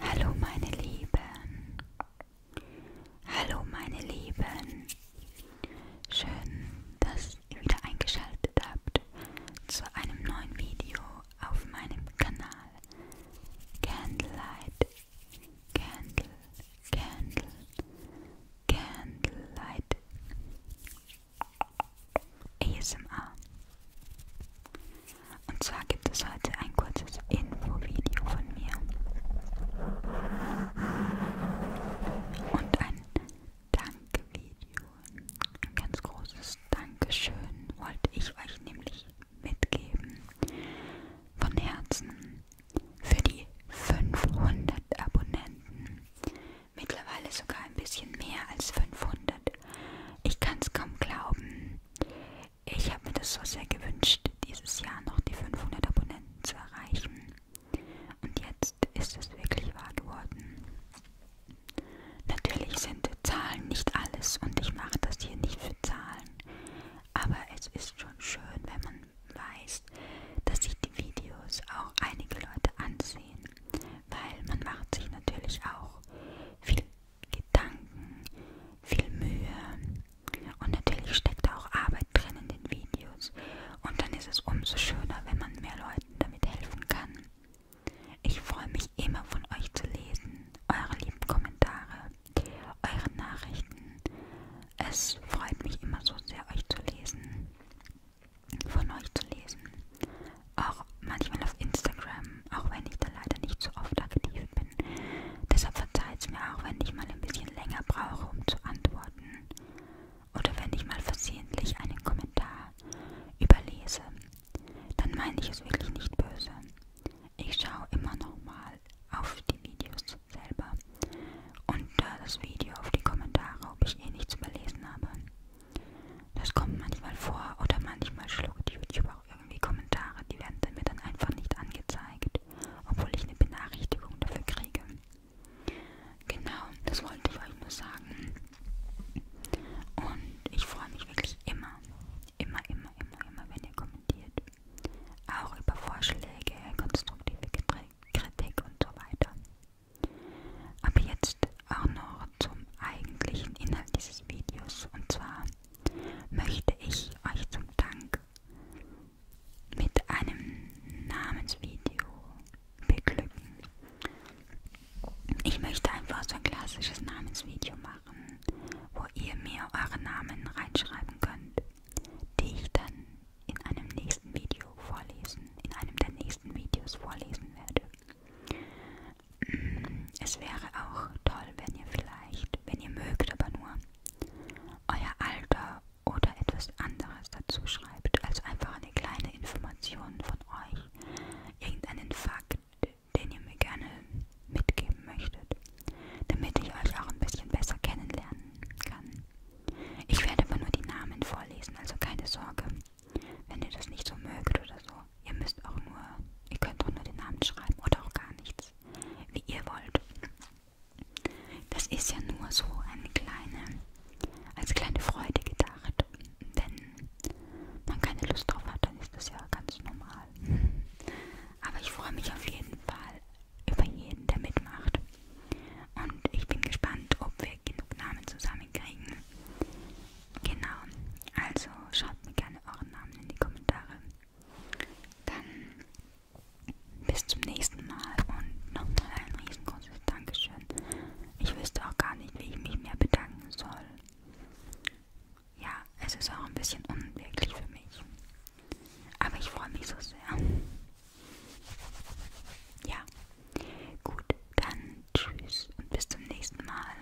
Hallo meine Lieben. Hallo meine Lieben. Schön, dass ihr wieder eingeschaltet habt zu einem neuen Video auf meinem Kanal. Candlelight. Candle. Candle. Candlelight. ASMR. Und zwar gibt es heute ein kurzes Infovideo von mir. Und ein Danke-Video. Ein ganz großes Dankeschön wollte ich euch nämlich mitgeben. Von Herzen für die 500 Abonnenten. Mittlerweile sogar ein bisschen mehr als 500. Ich kann es kaum glauben. Ich habe mir das so sehr gewünscht, dieses Jahr noch die 500 Abonnenten zu erreichen. Und jetzt ist es wirklich wahr geworden. Natürlich sind Zahlen nicht alles und ich mache das hier nicht für Zahlen. Aber es ist schon schön, wenn man weißt, dass sich die Videos auch einige Leute ansehen, weil man macht sich natürlich auch viel Gedanken, viel Mühe und natürlich steckt da auch Arbeit drin in den Videos und dann ist es umso schöner, wenn man mehr Leuten damit helfen kann. Ich freue mich immer von euch zu lesen, eure lieben Kommentare, eure Nachrichten, es freut mich immer so sehr, euch zu lesen, von euch zu lesen. Auch manchmal auf Instagram, auch wenn ich da leider nicht so oft aktiv bin. Deshalb verzeiht es mir auch, wenn ich mal ein bisschen länger brauche, um zu antworten. Oder wenn ich mal versehentlich einen Kommentar überlese. Dann meine ich es wirklich nicht böse. Ich schaue immer noch mal auf die Videos selber unter das Video auf die Kommentare, ob ich eh nichts überlesen habe. Das kommt manchmal vor oder manchmal schluckt YouTube auch irgendwie Kommentare, die werden mir dann einfach nicht angezeigt, obwohl ich eine Benachrichtigung dafür kriege. Genau, das wollte ich euch nur sagen. Und ich freue mich wirklich immer, Immer, immer, immer, immer, wenn ihr kommentiert. Auch über Vorschläge, konstruktive Kritik und so weiter. Aber jetzt auch noch zum eigentlichen Inhalt dieses Videos. Und zwar möchte ich euch zum Dank mit einem Namensvideo beglücken. Ich möchte einfach so ein klassisches Namensvideo machen, wo ihr mir eure Namen reinschreiben könnt, die ich dann in einem nächsten Video vorlesen, in einem der nächsten Videos vorlesen werde. Mm, es wäre auch toll, wenn ihr vielleicht, wenn ihr mögt, aber nur euer Alter oder etwas anderes dazu schreibt. Also einfach eine kleine Information von euch, irgendeinen Fakt, den ihr mir gerne mitgeben möchtet, damit ich euch auch ein bisschen besser kennenlernen kann. Ich werde aber nur die Namen vorlesen, also keine Sorge, wenn ihr das nicht so mögt oder so. Ihr müsst auch nur, ihr könnt auch nur den Namen schreiben oder auch gar nichts, wie ihr wollt. Das ist ja nur so eine kleine als kleine Freude gedacht. Wenn man keine Lust drauf hat, dann ist das ja ganz normal. Aber ich freue mich auf jeden Fall über jeden, der mitmacht. Und ich bin gespannt, ob wir genug Namen zusammenkriegen. Genau, also schaut mir gerne euren Namen in die Kommentare. Dann bis zum nächsten Mal und nochmal ein riesengroßes Dankeschön. Ich wüsste auch gar nicht, wie ich mich mehr bedanken soll. Ja, es ist auch ein bisschen unwirklich für mich. Aber ich freue mich so sehr. Ja, gut, dann tschüss und bis zum nächsten Mal.